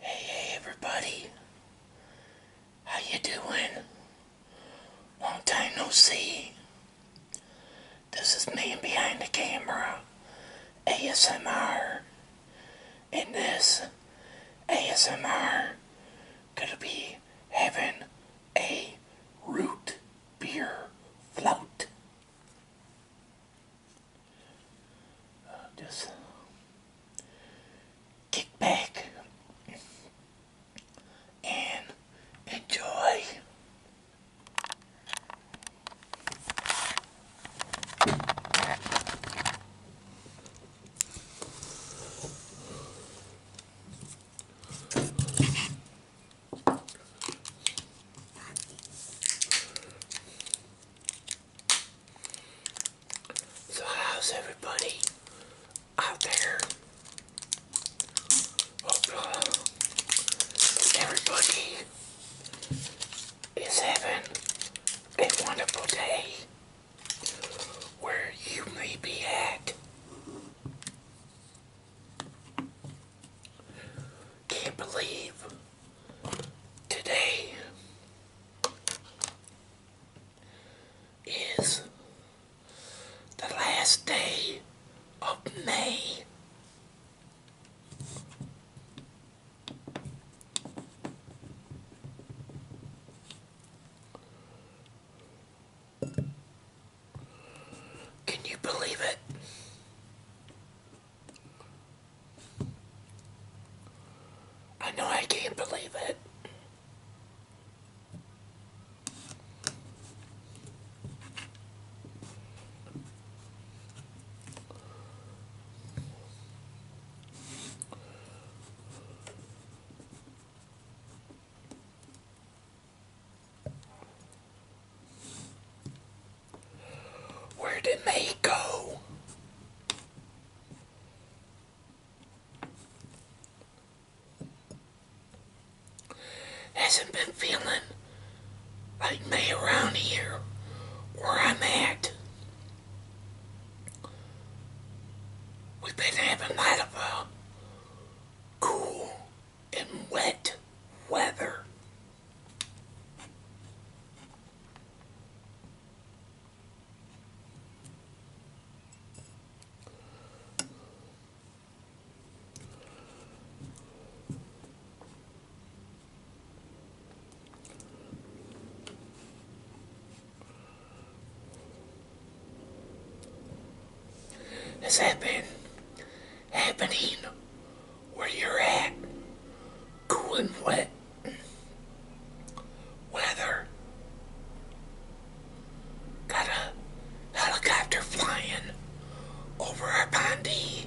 Hey, hey, everybody. How you doing? Long time no see. This is man behind the camera, ASMR. and this ASMR, could be having a root beer float uh, just kick back and enjoy. So how's everybody out there? everybody is having a wonderful day where you may be at. Can't believe today is the last day of May. Can you believe it? I know I can't believe it. Where did they go? Hasn't been feeling like me around here where I'm at. We've been having a lot of cool and wet weather. This has been happening where you're at. Cool and wet weather. Got a helicopter flying over our Bondi.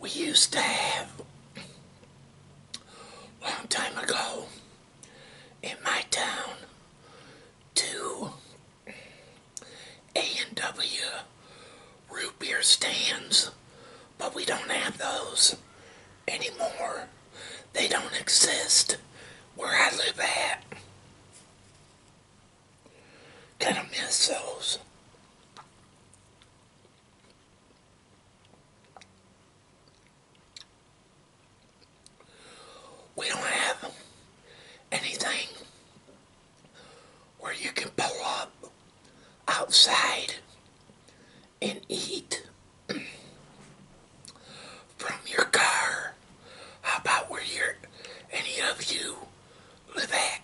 we used to have a long time ago in my town two A&W root beer stands but we don't have those anymore they don't exist where I live at Kind of miss those. We don't have anything where you can pull up outside and eat from your car. How about where you're, any of you live at?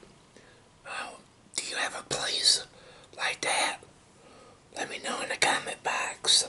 do you have a place like that? Let me know in the comment box.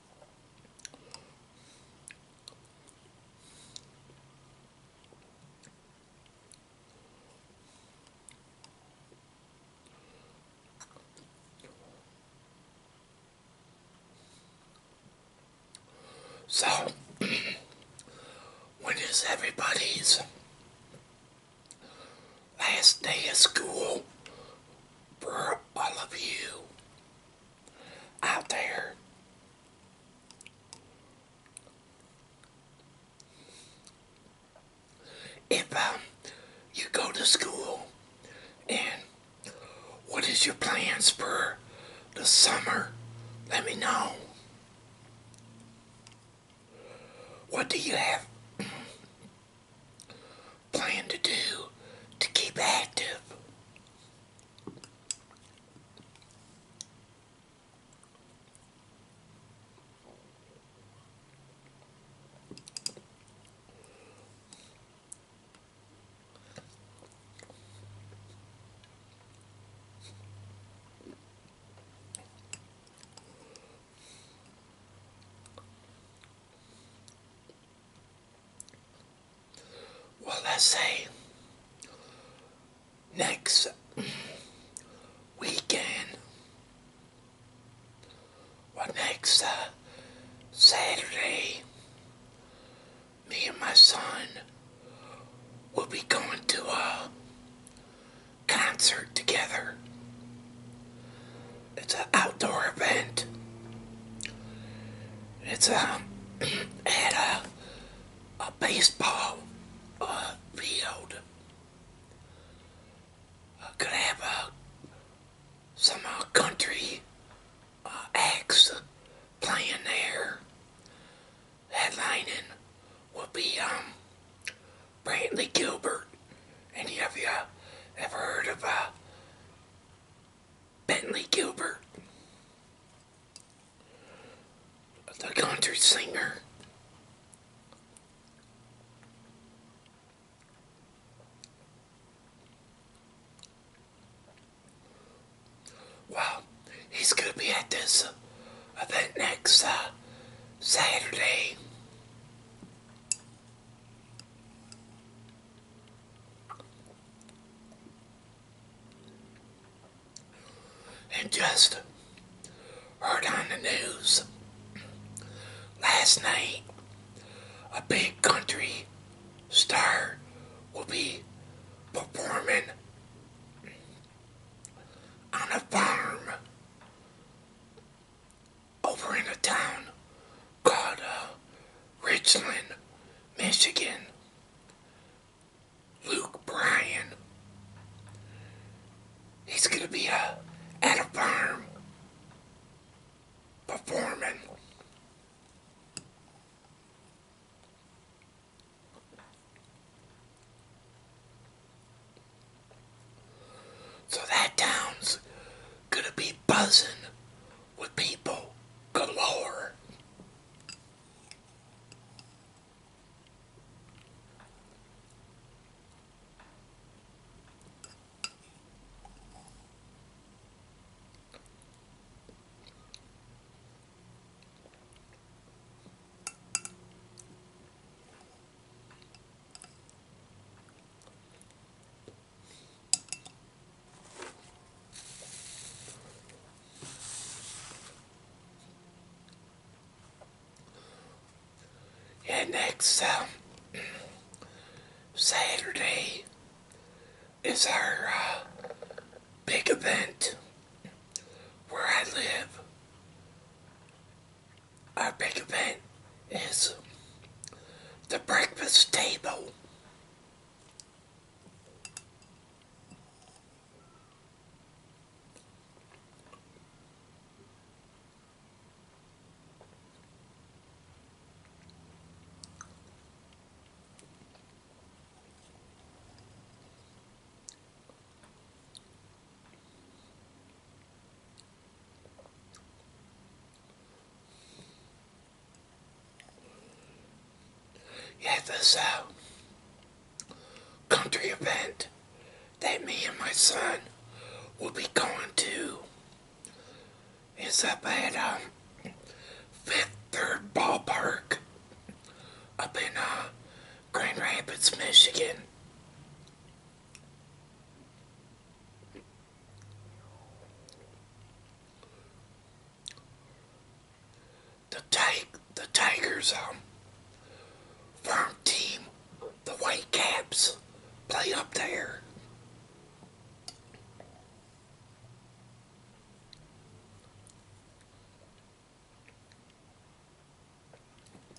So, when is everybody's last day of school for all of you? out there. If um, you go to school, and what is your plans for the summer? Let me know. What do you have plan to do to keep active. Well, let's say next weekend, well, next uh, Saturday, me and my son will be going to a concert together it's an outdoor event. It's um, at a, a baseball uh, field. Uh, could have uh, some country uh, acts playing there. Headlining will be um, Brantley Gilbert. Any of you ever heard of uh, Bentley Gilbert, the country singer. Well, he's going to be at this uh, event next uh, Saturday. I just heard on the news last night a big country star will be performing on a farm over in a town called uh, Richland, Michigan. Luke Bryan. He's going to be uh, at a farm performing. So that town's gonna be buzzing with people galore. And next um, Saturday is our uh, big event where I live our big event is the breakfast table. Yeah, this uh, country event that me and my son will be going to is up at um, Fifth Third Ballpark up in uh, Grand Rapids, Michigan. The, tig the Tigers um, farm team, the White Caps, play up there.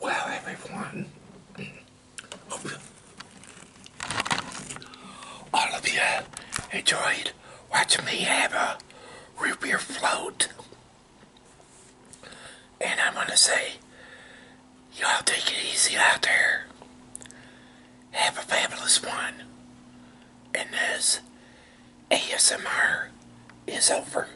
Well, everyone, all of you enjoyed watching me have a root beer float. And I'm going to say, y'all take it easy out there. Have a fabulous one. And this ASMR is over.